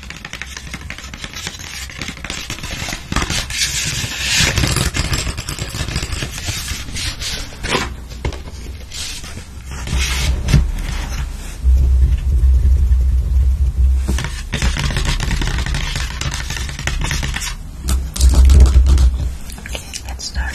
Okay, let's start.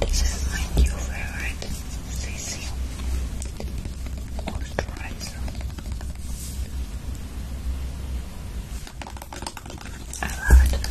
This is my new favorite, Sissy moisturizer. I love it.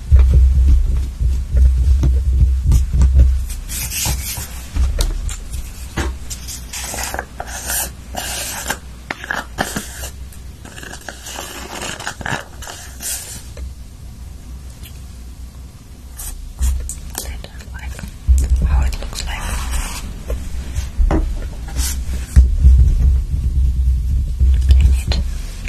I don't like how it looks like. I need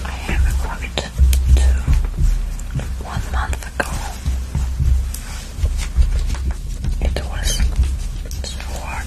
I have ordered two one month ago. It was so hard.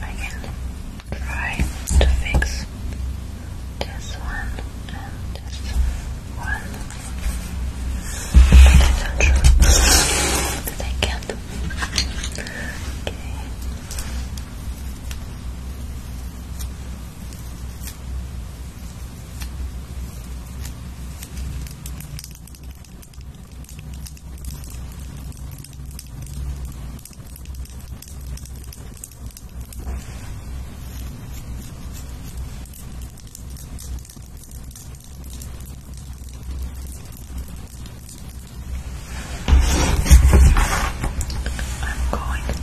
I can try to fix this one and this one, I'm not sure that can. Okay. I'm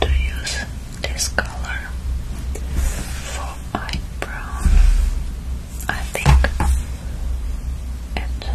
going to use this color for eyebrow I think it will be good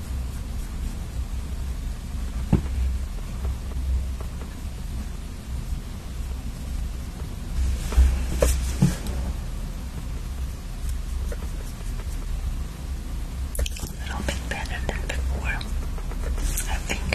A little bit better than before, I think.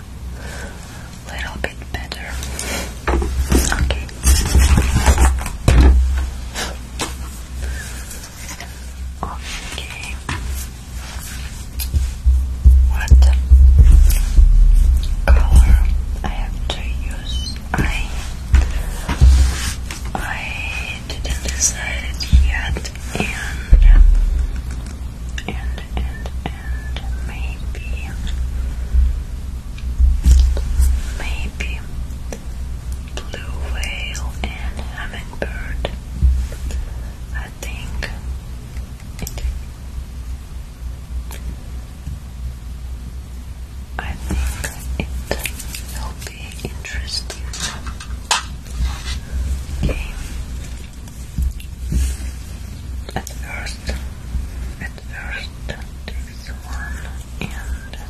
little bit better. Okay. Okay. What color I have to use? I I didn't decide yet, and and and maybe maybe blue whale and hummingbird. I think I think it will be interesting. Okay. At first, at first first this one and next.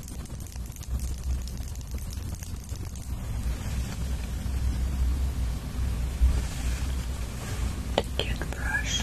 the toothbrush.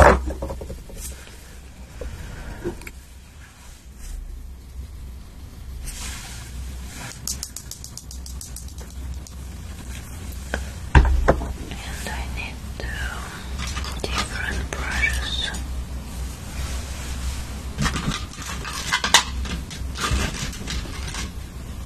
And I need two different brushes.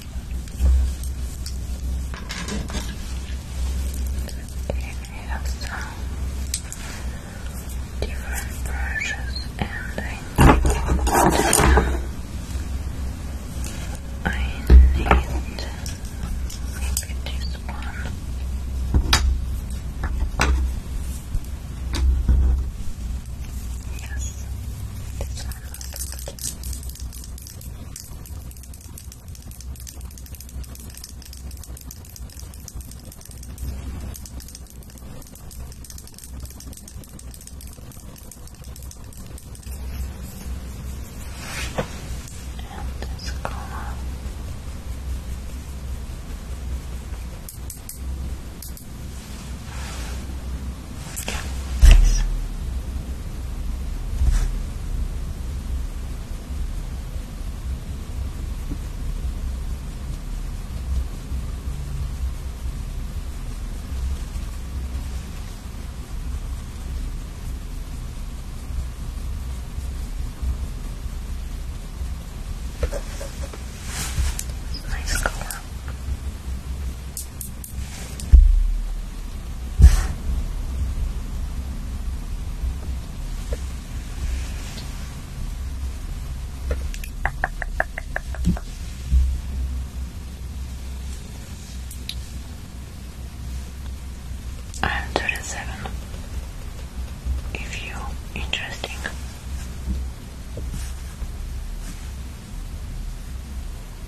We have some different brushes, and I need, this one. Yes, and this color. Yeah, nice. Nice color. I'm 27. if you interesting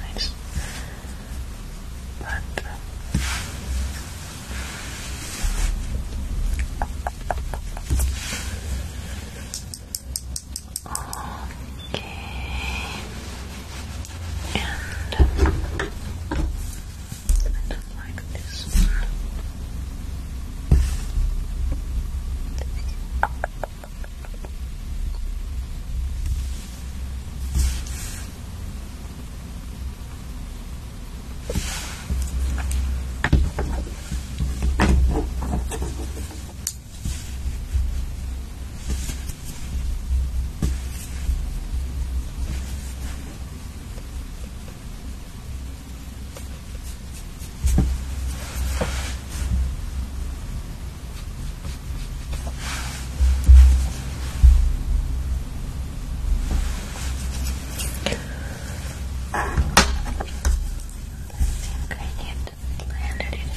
Nice. But uh, okay. And I don't like this one. I this ingredient blended it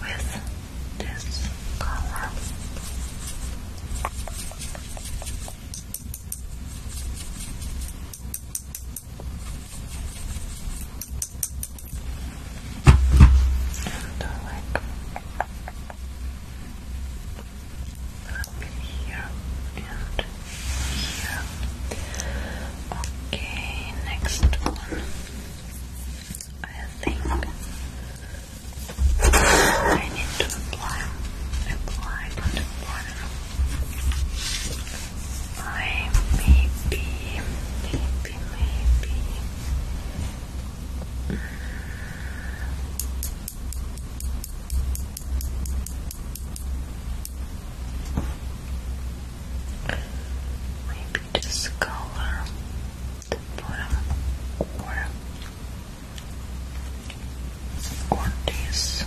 with, with this color. And I here and here. Okay, next one. I think I need to apply, apply, not apply. I maybe, maybe, maybe. Maybe this color for, for Ortiz. This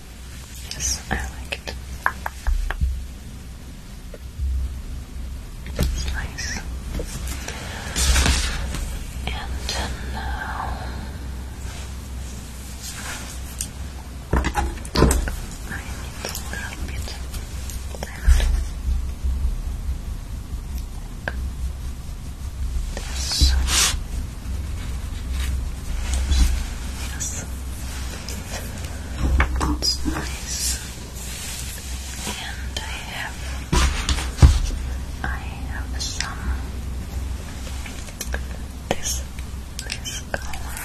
Yes, I like it. It's nice. And now I need a little bit of that. This. Yes. That's nice. And I have, I have some this this color.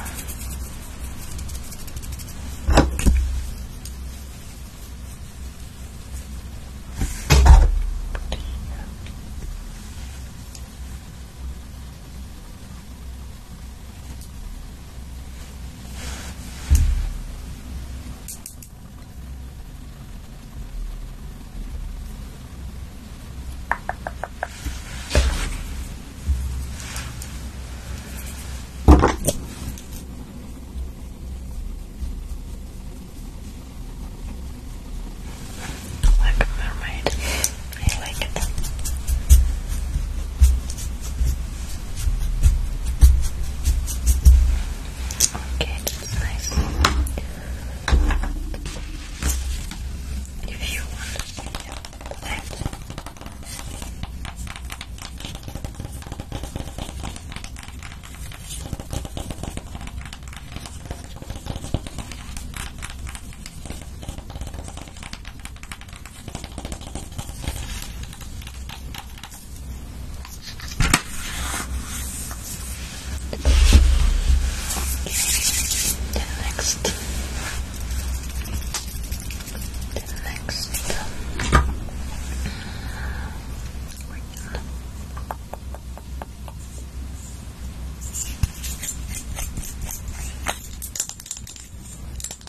Look, mermaid. I Okay, that's nice. If you want to see the next, the next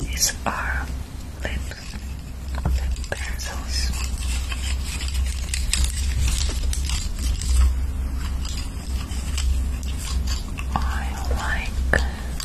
These are lip, pencils. I like this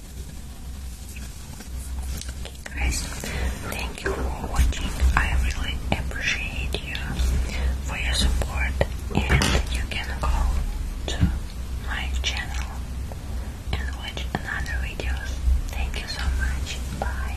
Guys, thank you for watching. I really appreciate you for your support, and you can go to my channel and watch another videos. Thank you so much. Bye.